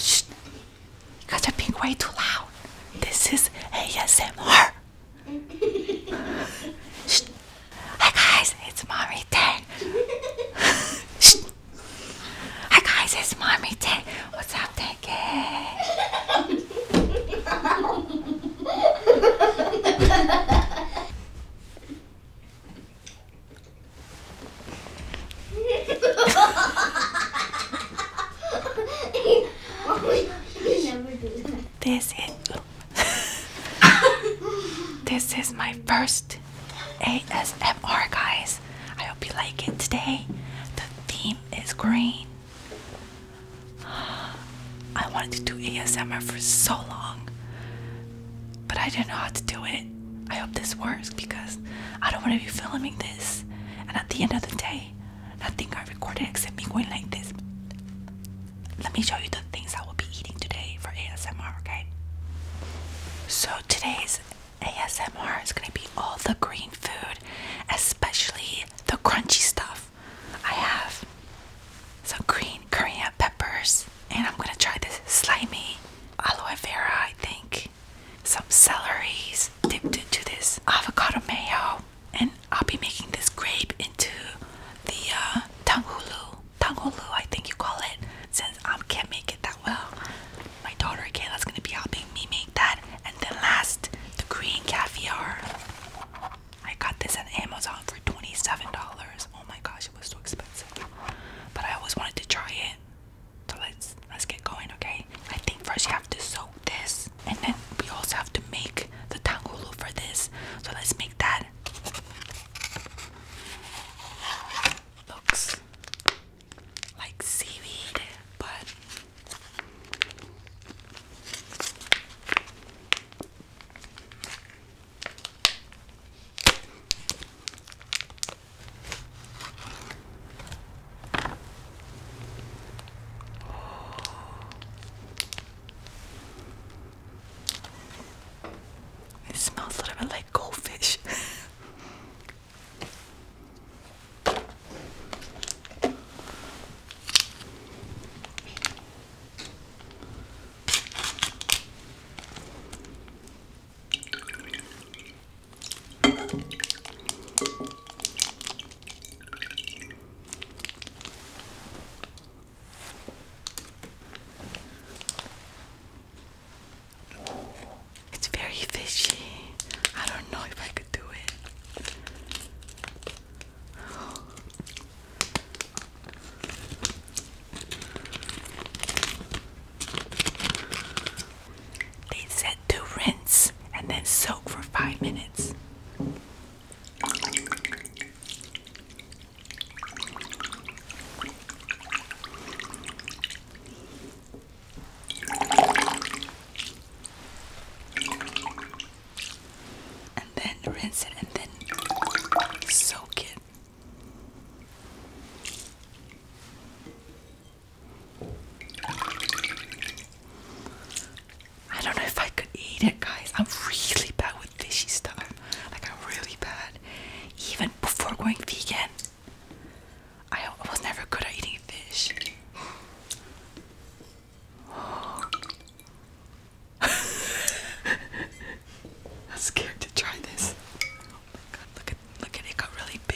Shh, you guys are being way too loud. This is ASMR. Shh. Hi guys, it's Mommy Ten. Shh. Hi guys, it's Mommy Ten. What's up, Tanky? this is this is my first ASMR guys I hope you like it today the theme is green I wanted to do ASMR for so long but I didn't know how to do it I hope this works because I don't want to be filming this and at the end of the day, nothing I recorded except me going like this. Let me show you the things I will be eating today for ASMR, okay? So today's ASMR is gonna be all the green food, especially the crunchy stuff. I have some green Korean peppers, and I'm gonna try this slimy aloe vera, I think parsley, some celeries dipped into this avocado mayo, and I'll be making this grape into the uh, tanghulu. Tanghulu, I think you call it, since I can't make it that well. My daughter Kayla's gonna be helping me make that. And then last, the green caviar. I got this on Amazon for $27. Oh my gosh, it was so expensive. But I always wanted to try it. So let's let's get going, okay? I think first you have to soak this, and then we also have to make the tangulu for this. So let's make that. Looks like seaweed, but it smells a little bit like goldfish. It's very fishy. I don't know if I could do it. They said to rinse and then soak for five minutes. And then rinse it and then soak it. I don't know if I could eat it, guys. I'm really bad with fishy stuff. Like, I'm really bad. Even before going vegan, I was never good at eating fish. I'm scared to try this my god, look at look at it got really big.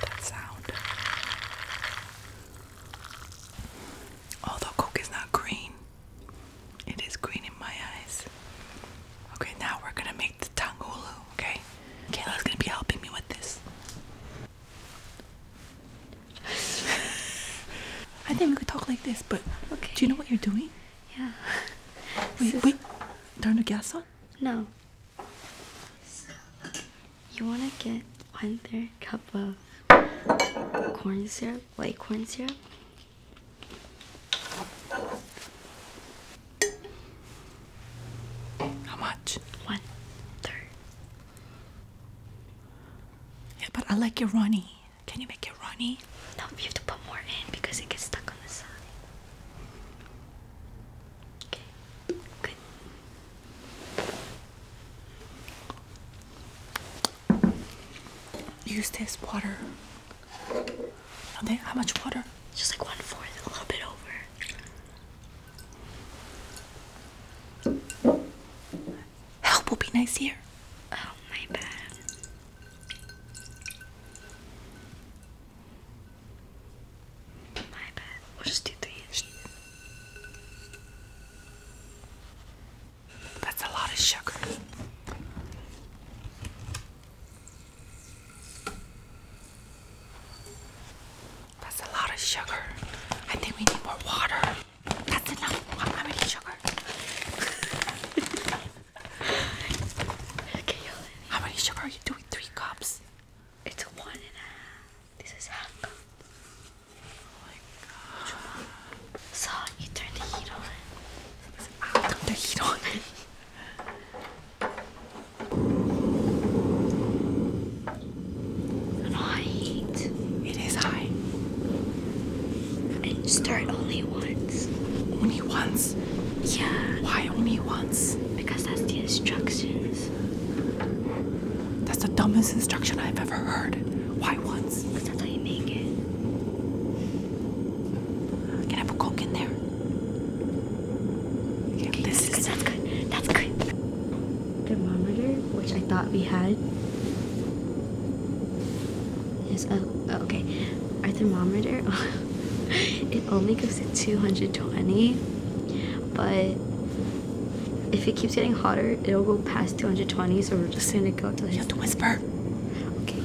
That sound. Although Coke is not green, it is green in my eyes. Okay, now we're gonna make the tongue okay? Kayla's gonna be helping me with this. I think we could talk like this, but do you know what you're doing? Yeah. Wait, wait. Turn the gas on? No. You wanna get one third cup of corn syrup white corn syrup. How much? One third. Yeah, but I like your runny. Can you make it runny? No, you have to put more in because it gets stuck on the side. Okay, good. Use this water. Okay, How much water? Just like one fourth, a little bit over. Help will be nice here. Oh, my bad. My bad. We'll just do three. That's a lot of sugar. That's a lot of sugar. I think we need more water. That's enough. How much sugar? How many sugar are you doing? Three cups? It's one and a half. This is half cup. Oh my god. So you turn the heat on. i turn the heat on. high heat. It is high. And start only once. Only once? Yeah. Why only once? Because that's the instructions. That's the dumbest instruction I've ever heard. Why? Why once? how you make it. Uh, can I have Coke in there? okay, this is that's good. That's good. Thermometer, which I thought we had. Is oh, okay. Our thermometer, it only goes to 220, but if it keeps getting hotter, it'll go past 220, so we're just gonna go to. You have to whisper. Okay.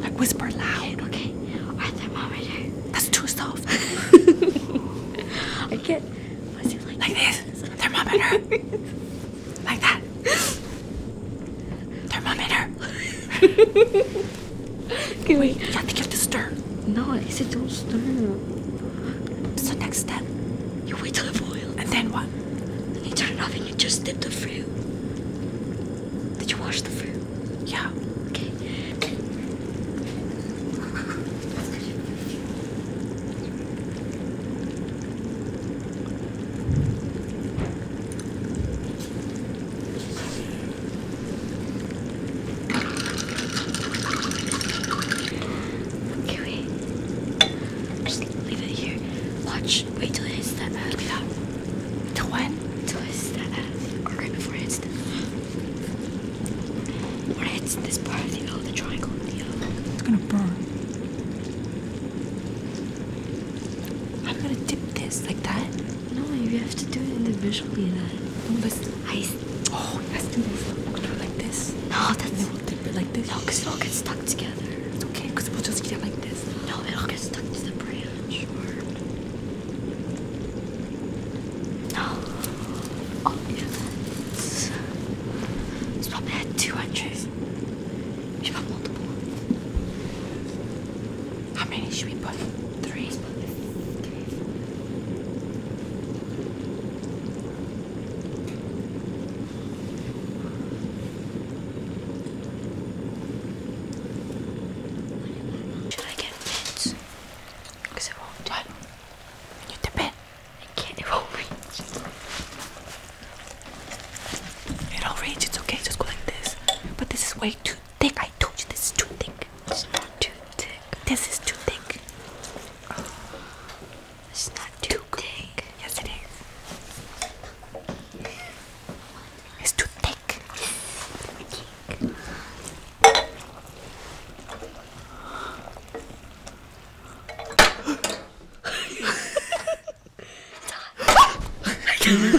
Like whisper loud. Okay. thermometer. That's too soft. I can't. What's it like? Like this. thermometer. like that. thermometer. okay, wait. wait. You have to get the stir. No, I said don't stir. So next step, you wait till it boils. And then what? Then you turn it off and you just dip the fruit. Did you wash the fruit? Yeah. Okay. Okay, leave it here. Watch. Wait till it hits that F. Leave it out. when? Till before it hits the When it hits this part of the O, triangle the O. It's gonna burn. I'm gonna dip this like that. No, you have to do it individually. That. No, but I. Oh, let's I'm to do it like this this. No, that's. And it will like this. because it all gets stuck together. It's okay, because we'll just get it like this. No, it all gets stuck to the branch. Or... No. Oh, It's, probably had two We should multiple. How many should we put? Three? Should I get pins? Because it won't do. What? You the pin? I can't, it reach. It'll reach, it's okay, just go like this. But this is way too thick. I told you this is too thick. too thick. This is too thick. It's not too thick. Yes, it is. It's too thick.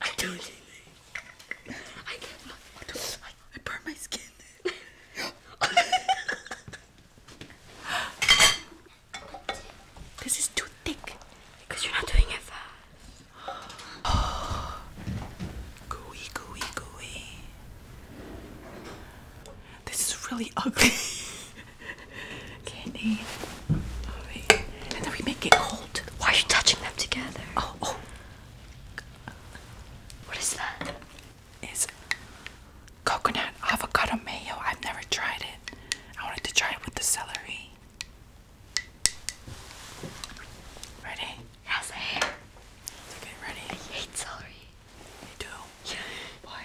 I don't anything. I can't. I, don't, I, I burn my skin. this is too thick because you're not doing it fast. gooey, gooey, gooey. This is really ugly. Candy. and then we make it cold. Why are you touching them together? Oh, oh. What is that? It's coconut avocado mayo. I've never tried it. I wanted to try it with the celery. Ready? Yes, Okay, ready? I hate celery. You do? Why?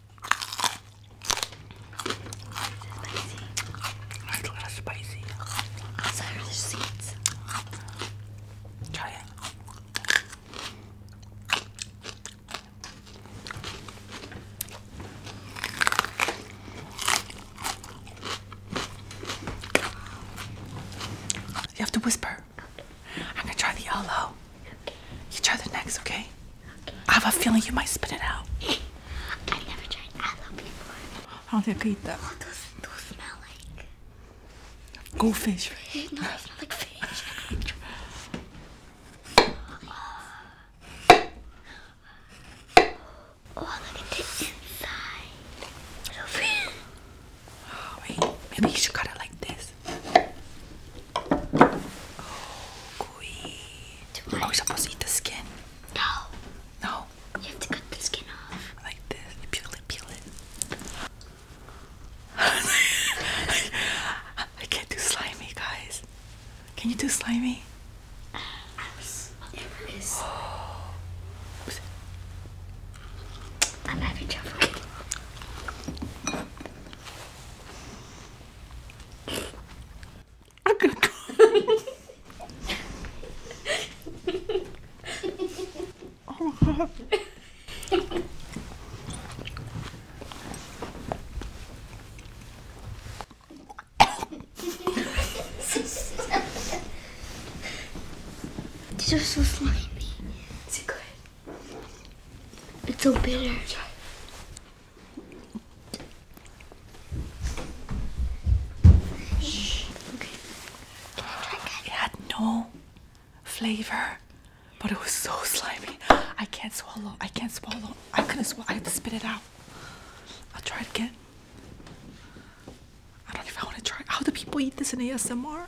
It's a lot of spicy. Also, are the seeds. Try it. You have to whisper. I'm gonna try the yellow. You try the next, okay? I have a feeling you might spit it out. I've never tried that before. I don't think I could eat that. Oh, those, those smell like goldfish. No, they smell like fish. Oh, maybe you should cut it like this this. Are we supposed to eat the skin? No. No? You have to cut the skin off. Like this. peel it, peel it. I can't do slimy, guys. Can you do slimy? I'm having trouble. I'm gonna oh my god. These are so slimy. Is good? It's so bitter. It had no flavor, but it was so slimy. I can't swallow. I can't swallow. I couldn't swallow. I have to spit it out. I'll try it again. I don't know if I want to try. How do people eat this in ASMR?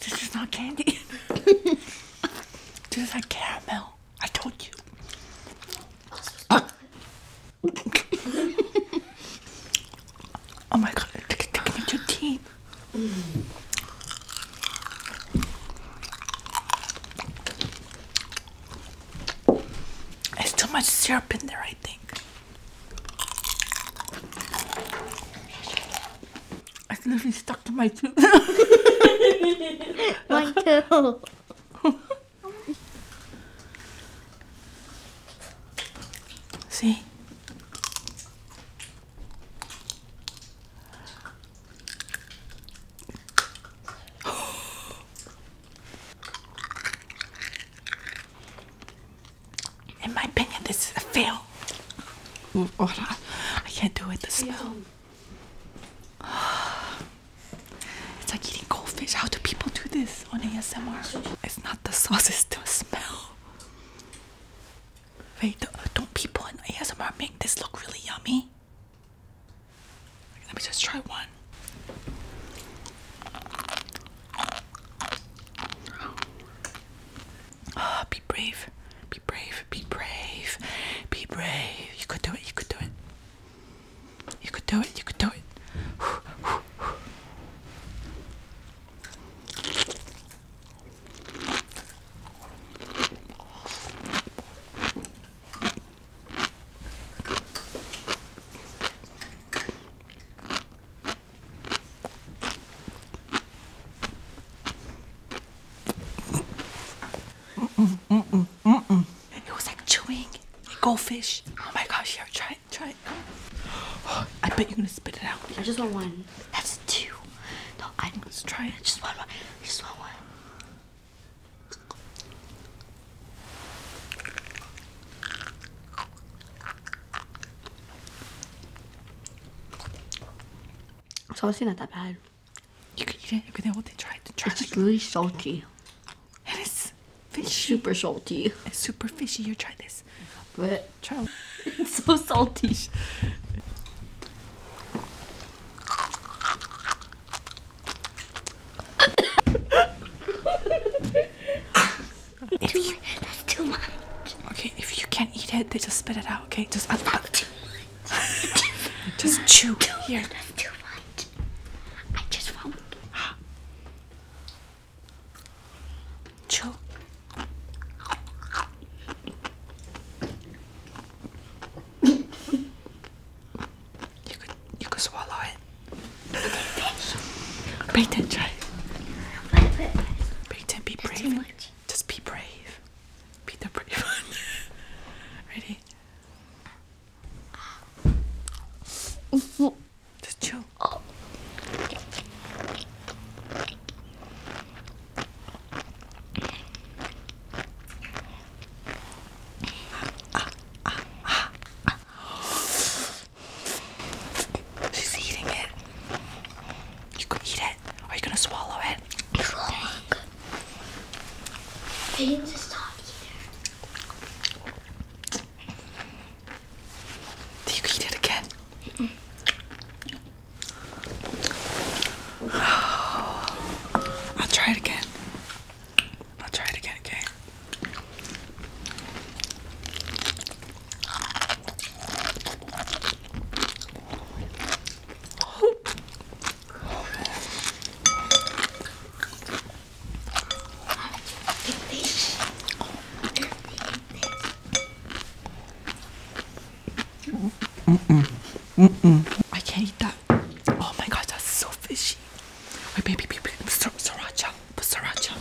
this is not candy. this is like caramel. I told you. oh my god, it's sticking into your teeth. It's too much syrup in there, I think. It's literally stuck to my tooth. Mine too. See? In my opinion, this is a fail. I can't do it. The smell. It's like eating goldfish. How do people do this on ASMR? It's not the sauce, it's the smell. Wait, don't people in ASMR make this look really yummy? Let me just try one. Ah, be brave. Be brave. Be brave. Be brave. You could do it. You could do it. You could do it. You could do it. Mm -mm, mm -mm, mm It was like chewing like goldfish. Oh my gosh, here, try it, try it. I bet you're gonna spit it out. I just want one. That's two. No, I, Let's try it. just one. just one. Salty, not that bad. You can eat it. You can able to try it. it's like, really salty. It is fishy. It's super salty. It's super fishy. You try this. But try. It's so salty. if you, that's too much. Okay, if you can't eat it, they just spit it out. Okay, just up, up. just chew. Too Here. That's too much. I just won't. chew you could you could swallow it. Peyton, try. Peyton, be That's brave. Just be brave. Be the brave one. Ready? Just chill. Oh. She's eating it. You can eat it. are you gonna swallow it? I didn't just stop either. Do you eat it again? I'll try it again. I'll try it again, okay? Mm-mm. Mm-mm. I can't eat that. Oh my god, that's so fishy. Wait, baby, baby, Sir sriracha, but sriracha.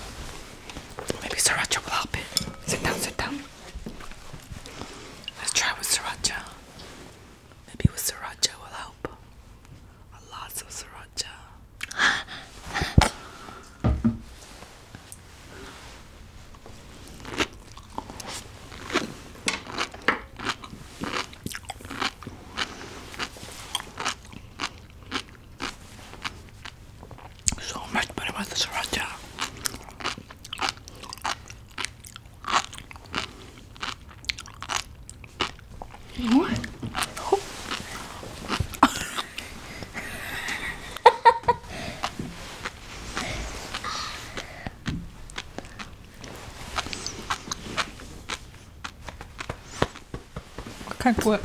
Maybe sriracha will help it. Sit down, sit down. Let's try with sriracha. Maybe with sriracha will help. A lot of sriracha. So much better with the sriracha. What? Oh. Как бы...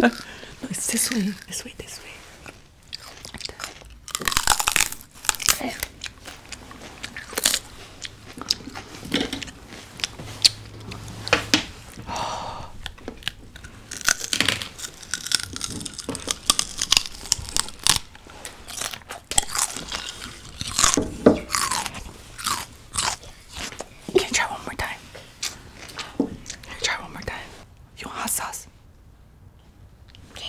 no, it's this way, this way, this way. Can you try one more time? you try one more time? You want hot sauce? Yeah.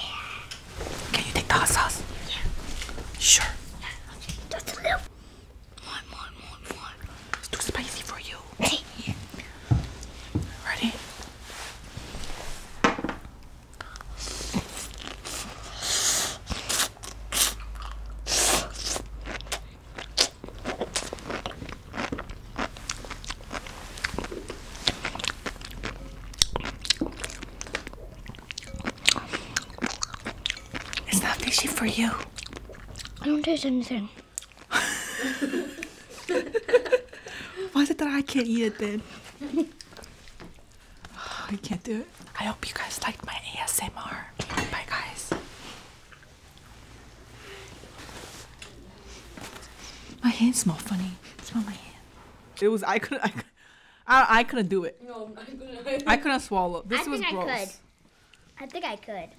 Can you take the hot sauce? Yeah. Sure. Just a little. More, more, more, more. It's too spicy for you. Ready? It's not fishy for you. I don't taste anything. Why is it that I can't eat it then? I can't do it. I hope you guys liked my ASMR. Bye guys. My hands smell funny. Smell my hand. It was I couldn't I, I, couldn't do it. No, I couldn't. I couldn't swallow. This was gross. I think I could.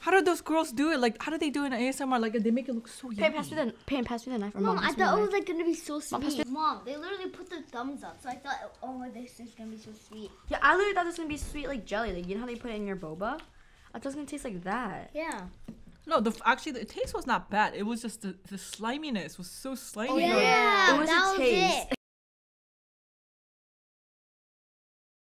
How did those girls do it? Like, how do they do it in ASMR? Like, they make it look so yummy. Pam, pass me the, Pam, pass knife. Mom, mom I thought it was, like, going to be so sweet. Mom, they literally put their thumbs up. So I thought, oh, my, this is going to be so sweet. Yeah, I literally thought this was going to be sweet like jelly. Like, you know how they put it in your boba? I thought it was going to taste like that. Yeah. No, the actually the taste was not bad. It was just the, the sliminess was so slimy. Oh, yeah, yeah. it was that a taste.